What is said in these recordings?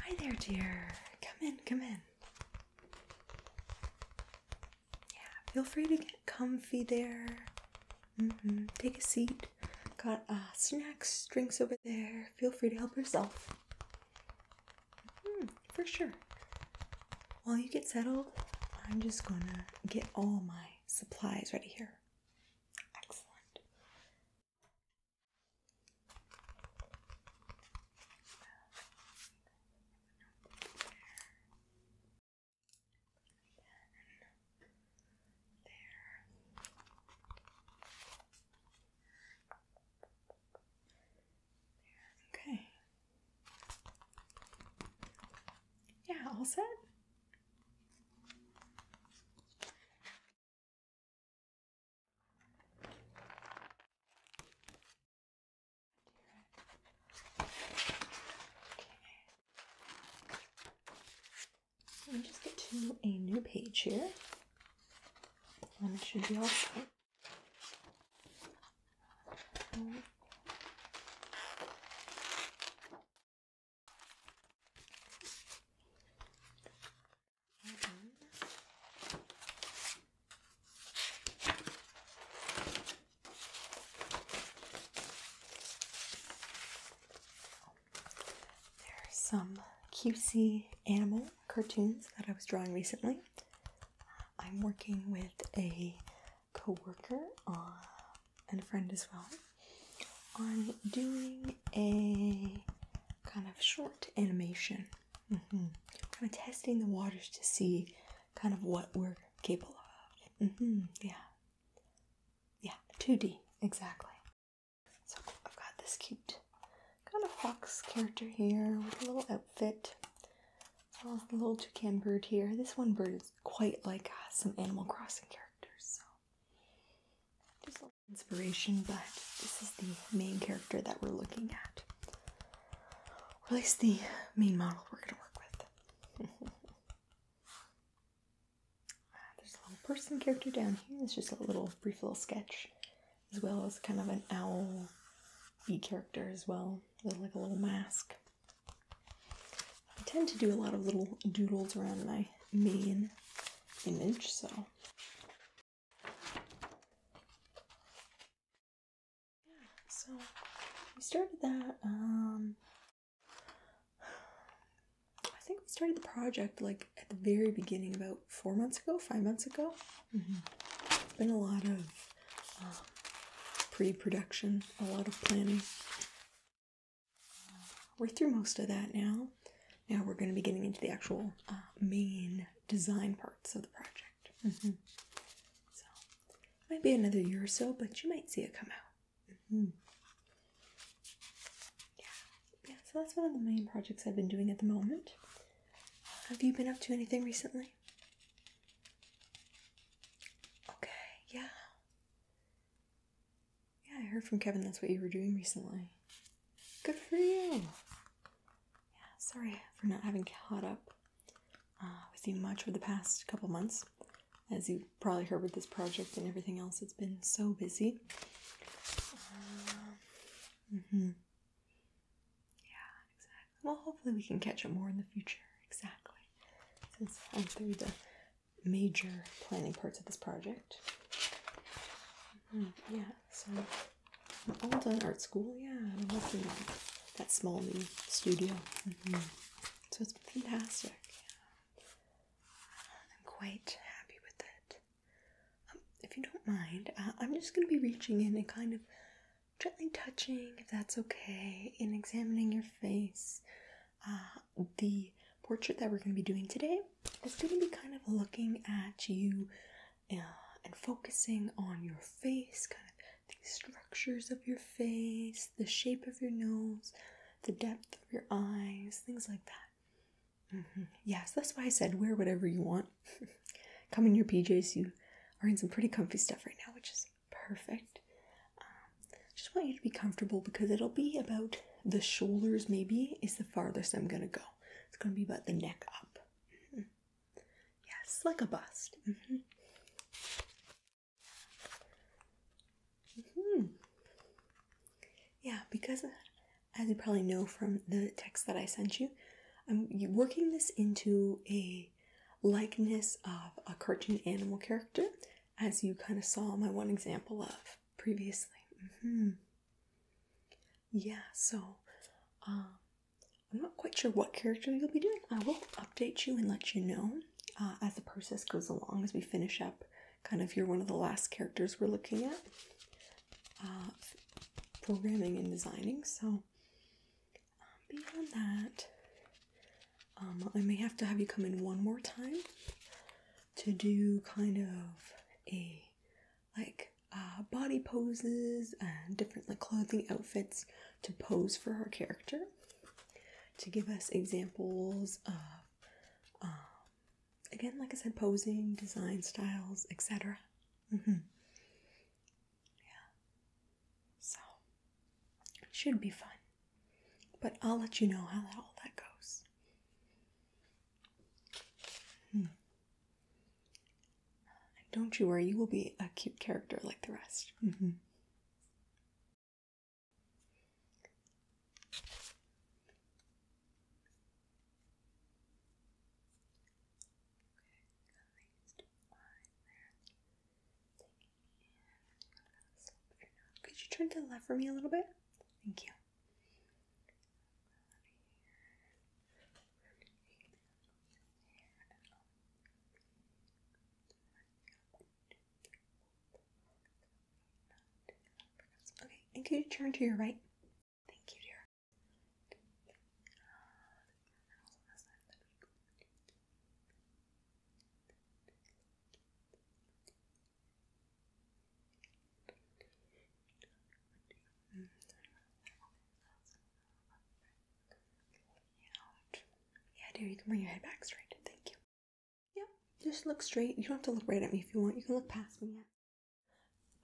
Hi there, dear. Come in, come in. Yeah, feel free to get comfy there. Mm -hmm. Take a seat. Got uh, snacks, drinks over there. Feel free to help yourself. Mm, for sure. While you get settled, I'm just gonna get all my supplies ready here. Excellent. There. There. Okay. Yeah, all set. So let me just get to a new page here. And it should be all set there are some Q C animal cartoons that I was drawing recently. I'm working with a co-worker and a friend as well on doing a kind of short animation. Mm-hmm. Kind of testing the waters to see kind of what we're capable of. Mm-hmm. Yeah. Yeah, 2D, exactly. So I've got this cute kind of fox character here with a little outfit. A little toucan bird here. This one bird is quite like uh, some Animal Crossing characters, so just a little inspiration, but this is the main character that we're looking at. Or at least the main model we're going to work with. Ah, there's a little person character down here. It's just a little brief little sketch, as well as kind of an owl bee character as well, with like a little mask. I tend to do a lot of little doodles around my main image, so. Yeah, so we started that, um, I think we started the project like at the very beginning, about four months ago, five months ago. It's mm-hmm. been a lot of um, pre production, a lot of planning. We're through most of that now. Now we're going to be getting into the actual uh, main design parts of the project. Mm -hmm. might be another year or so, but you might see it come out. Mm-hmm. Yeah, yeah. So that's one of the main projects I've been doing at the moment. Have you been up to anything recently? Okay, yeah. Yeah, I heard from Kevin that's what you were doing recently. Good for you. Yeah, sorry for not having caught up uh, with you much over the past couple months. As you probably heard with this project and everything else, it's been so busy. Uh, mm-hmm. Yeah, exactly. Well, hopefully we can catch up more in the future. Exactly. Since I'm through the major planning parts of this project. Hmm, yeah, so I'm all done art school. Yeah, I'm working on that small new studio. Mm-hmm. So it's fantastic. I'm quite happy with it. Um, if you don't mind, uh, I'm just going to be reaching in and kind of gently touching, if that's okay, in examining your face. Uh, the portrait that we're going to be doing today is going to be kind of looking at you uh, and focusing on your face, kind of the structures of your face, the shape of your nose, the depth of your eyes, things like that. Mm-hmm. Yes, that's why I said wear whatever you want. Come in your PJs. You are in some pretty comfy stuff right now, which is perfect. Um, just want you to be comfortable because it'll be about the shoulders, maybe, is the farthest I'm gonna go. It's gonna be about the neck up. Mm-hmm. Yes, like a bust. -hmm. Yeah, because as you probably know from the text that I sent you, I'm working this into a likeness of a cartoon animal character as you kind of saw my one example of previously. Mm-hmm. Yeah, so um, I'm not quite sure what character you'll be doing. I will update you and let you know uh, as the process goes along, as we finish up. Kind of, you're one of the last characters we're looking at uh, programming and designing. So, um, beyond that, um, I may have to have you come in one more time to do kind of a like uh, body poses and different like clothing outfits to pose for her character to give us examples of um, again like I said posing design styles etc mm -hmm. yeah so should be fun but I'll let you know how all that goes. Hmm. Don't you worry, you will be a cute character like the rest. Mm-hmm. Could you turn to the left for me a little bit? Thank you. Okay, and could you turn to your right? Thank you, dear. Yeah, dude, you can bring your head back straight. Thank you. Yep, just look straight. You don't have to look right at me if you want. You can look past me. Yeah.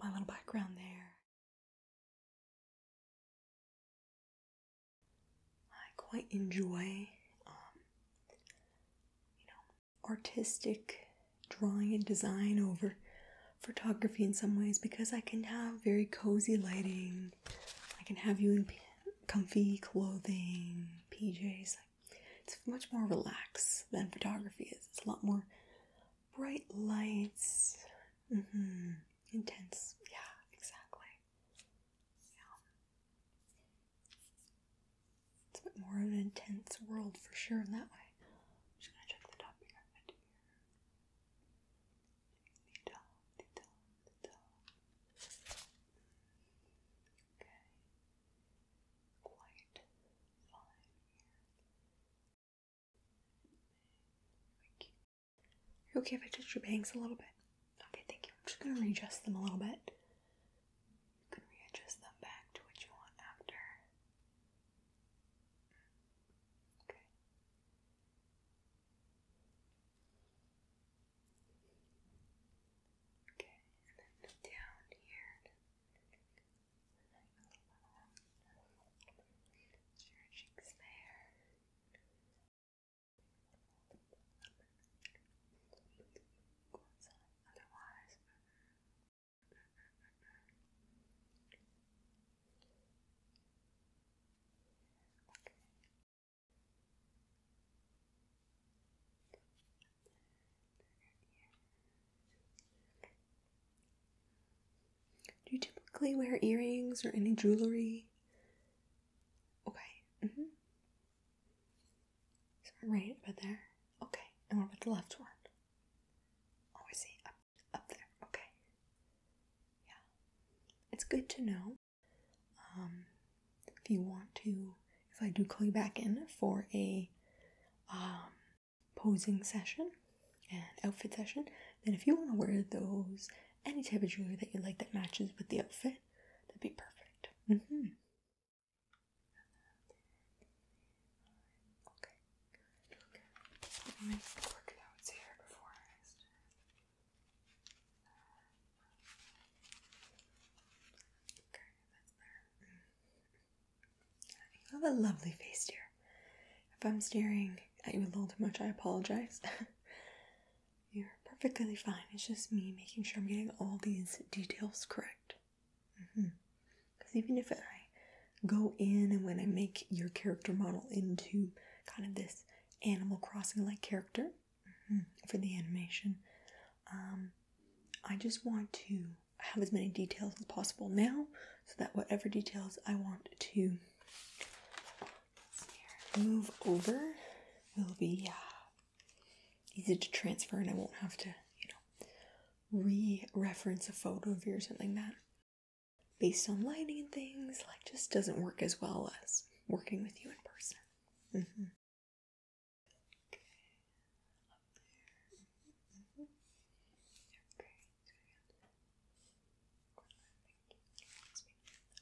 My little background there. I quite enjoy, um, you know, artistic drawing and design over photography in some ways because I can have very cozy lighting. I can have you in comfy clothing, PJs. It's much more relaxed than photography is. It's a lot more bright lights. Mm-hmm. Intense. Yeah, exactly. Yeah. It's a bit more of an intense world for sure in that way. just gonna check the top here. The top, the Okay. Quite fine here. Okay, if I touch your bangs a little bit. Okay, thank you. I'm just gonna readjust them a little bit. You can readjust them back to what you want after. Okay. Okay, down here. Your there. Do you typically wear earrings or any jewelry? Okay. Mm -hmm. So right about there. Okay. And what about the left one? Oh, I see. Up, up there. Okay. Yeah. It's good to know. Um, if you want to, if I do call you back in for a um, posing session and outfit session, then if you want to wear those, any type of jewelry that you like that matches with the outfit, That'd be perfect. Mm-hmm. Okay. Okay. Mm. I You have a lovely face, dear. If I'm staring at you a little too much, I apologize. You're perfectly fine. It's just me making sure I'm getting all these details correct. Because mm-hmm. even if I go in and when I make your character model into kind of this Animal Crossing like character mm-hmm, for the animation, um, I just want to have as many details as possible now so that whatever details I want to move over will be uh, easy to transfer, and I won't have to, you know, re-reference a photo of you or something like that based on lighting and things. Like, just doesn't work as well as working with you in person. Mm-hmm.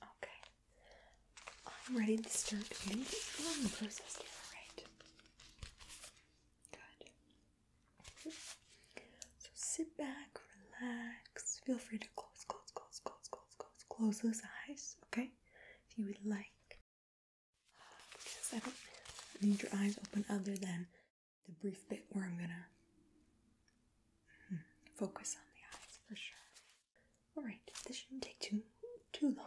Okay. I'm ready to start beginning the um, process here, Good. So sit back, relax. Feel free to close, close, close, close, close, close, close those eyes, okay? If you would like. Because I don't need your eyes open other than the brief bit where I'm gonna hmm, focus on the eyes for sure. Alright, this shouldn't take too, too long.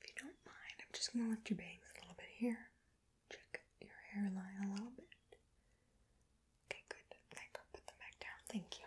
If you don't mind, I'm just going to lift your bangs a little bit here. Check your hairline a little bit. Okay, good. I put them back down. Thank you.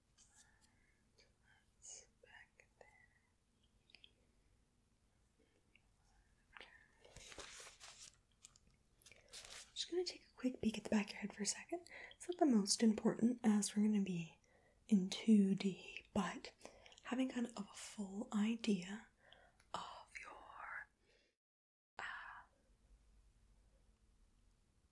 I'm just going to take a quick peek at the back of your head for a second. It's not the most important as we're going to be in 2D, but having kind of a full idea of your uh,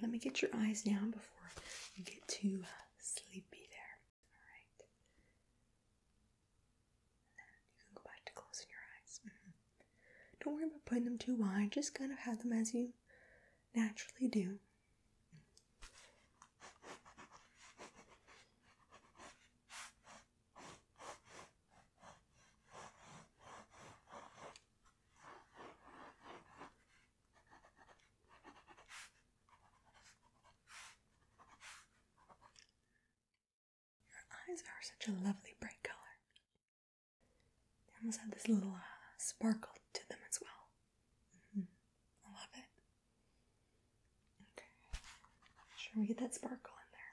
Let me get your eyes down before you get too sleepy there. Alright. then you can go back to closing your eyes. Mm-hmm. Don't worry about putting them too wide, just kind of have them as you naturally do. Your eyes are such a lovely bright color. They almost have this little uh, sparkle to them as well. Mm-hmm. I love it. Okay. sure we get that sparkle in there.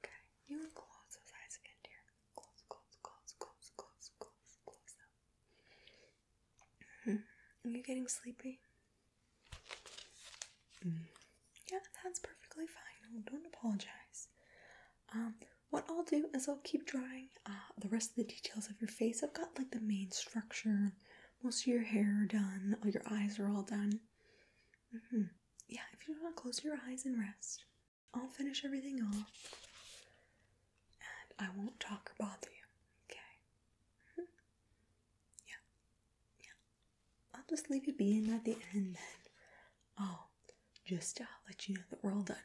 Okay, you close those eyes again, dear. Close, close, close, close, close, close, close them. Mm Are getting sleepy? Mm-hmm. Yeah, that's perfectly fine. don't apologize. Um, what I'll do is I'll keep drawing uh, the rest of the details of your face. I've got like the main structure. Most of your hair done. All your eyes are all done. Mm-hmm. Yeah, if you want to close your eyes and rest, I'll finish everything off and I won't talk or bother you, okay? Yeah, yeah. I'll just leave you being at the end then. Oh, just to let you know that we're all done.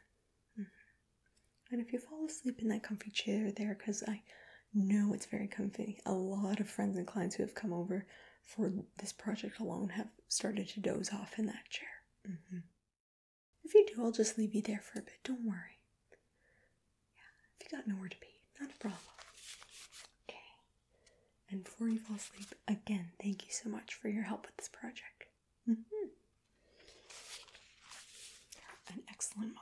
Mm-hmm. And if you fall asleep in that comfy chair there, because I know it's very comfy, a lot of friends and clients who have come over for this project alone have started to doze off in that chair. Mm-hmm. If you do, I'll just leave you there for a bit. Don't worry. Yeah, if you got nowhere to be, not a problem. Okay. And before you fall asleep, again, thank you so much for your help with this project. Mm-hmm. An excellent model.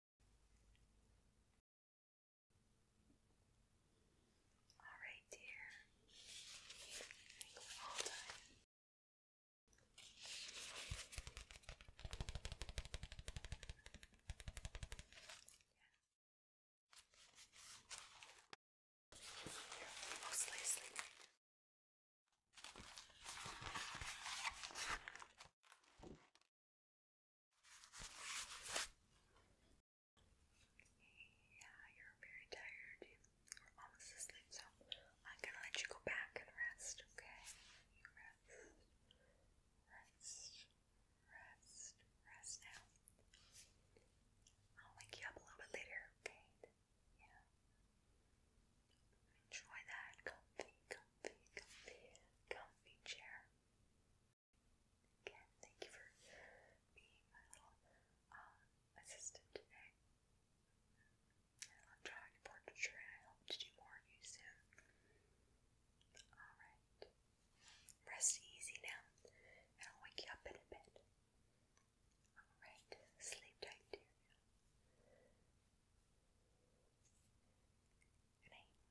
All right, dear. I are all done. Yeah. You're yeah, you're very tired. You're almost asleep, so I'm gonna let you go back and rest, okay? rest, rest, rest, rest now. I'll wake you up a little bit later, okay? Yeah. Enjoy that comfy, comfy, comfy, comfy chair. Again, thank you for being my little uh, assistant today. I love drawing portraiture, I hope to do more of you soon. Alright. Rest easy now, and I'll wake you up in a bit. Alright, sleep tight, dear. Good night.